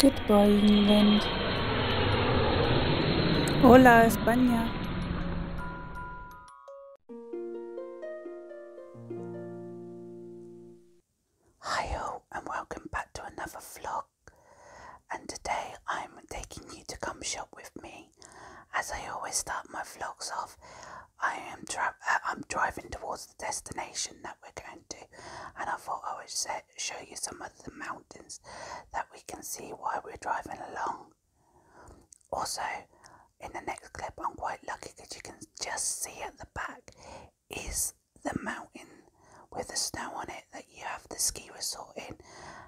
Goodbye, England. Hola, España. Hi, and welcome back to another vlog. And today I'm taking you to come shop with me. As I always start my vlogs off, I am tra uh, I'm driving towards the destination that we're going to, and I thought I would show you some of the mountains that we can see while we're driving along. Also, in the next clip, I'm quite lucky because you can just see at the back is the mountain with the snow on it that you have the ski resort in,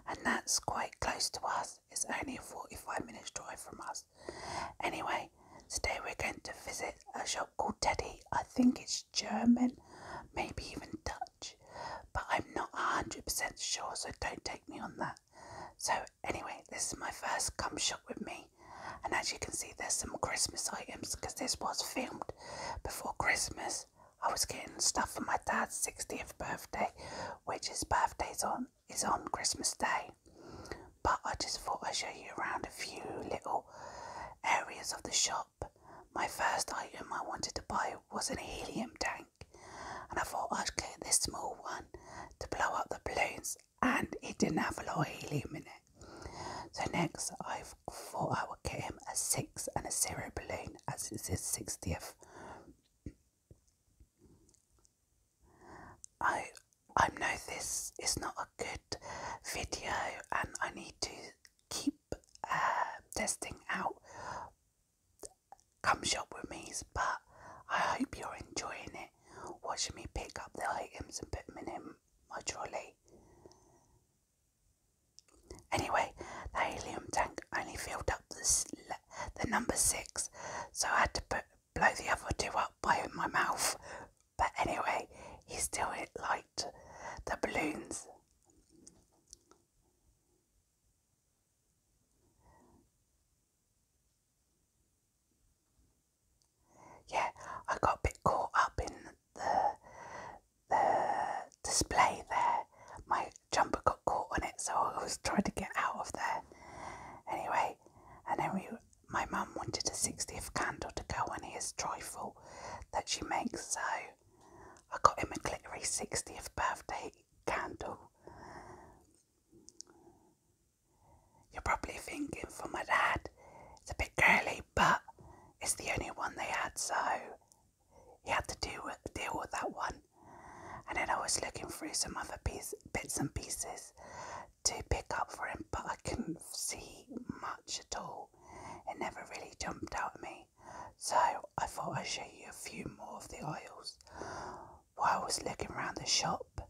and that's quite close to us. It's only a 45 minutes drive from us. Anyway, today we're going to visit a shop called Teddy. I think it's German, maybe even Dutch, but I'm not 100% sure, so don't take me on that. So, anyway, this is my first come shop with me, and as you can see, there's some Christmas items because this was filmed before Christmas. I was getting stuff for my dad's 60th birthday, which his birthday's on is on Christmas Day, but I just thought I'd show you around a few little areas of the shop. My first item I wanted to buy was an helium tank, and I thought I'd get this small one to blow up the balloons, and it didn't have a lot of helium in it. So, next, I thought I would get him a six and a zero balloon as it's his 60th I I know this is not a good video and I need to keep uh, testing out come shop with me but I hope you're enjoying it watching me pick up the items and put them in my trolley Anyway, the helium tank only filled up the, the number six, so I had to put, blow the other two up by my mouth. But anyway, he still liked the balloons. Yeah, I got a bit caught up in the the display there. My jumper got caught on it, so I was trying to get out of there. Anyway, and then we, my mum wanted a 60th candle to go on his trifle that she makes, so I got him a glittery 60th birthday candle. You're probably thinking for my dad, it's a bit girly but it's the only one they had, so he had to deal with, that one. And then I was looking through some other bits and pieces to pick up for him, but I couldn't see much at all. It never really jumped out at me. So I thought I'd show you a few more of the aisles while I was looking around the shop.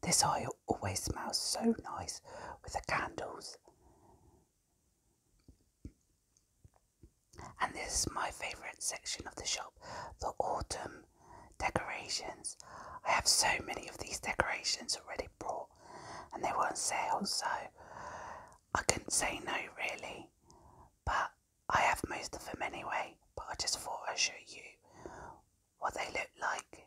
This aisle always smells so nice with the candles. And this is my favourite section of the shop the autumn decorations. I have so many of these decorations already bought, and they were on sale, so I couldn't say no really. But I have most of them anyway, but I just thought I'd show you what they look like.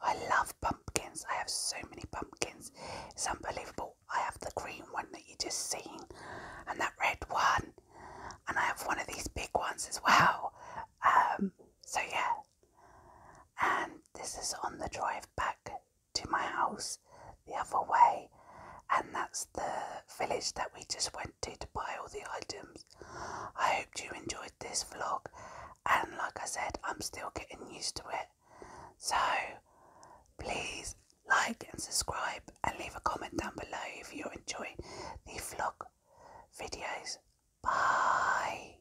I love pumpkins. I have so many pumpkins. It's unbelievable. I have the green one that you just seen and that red one. And I have one of these big ones as well. Um, so yeah. And this is on the drive back to my house the other way, and that's the village that we just went to to buy all the items. I hope you enjoyed this vlog, and like I said, I'm still getting used to it. So please like and subscribe, and leave a comment down below if you're enjoying the vlog videos. Bye.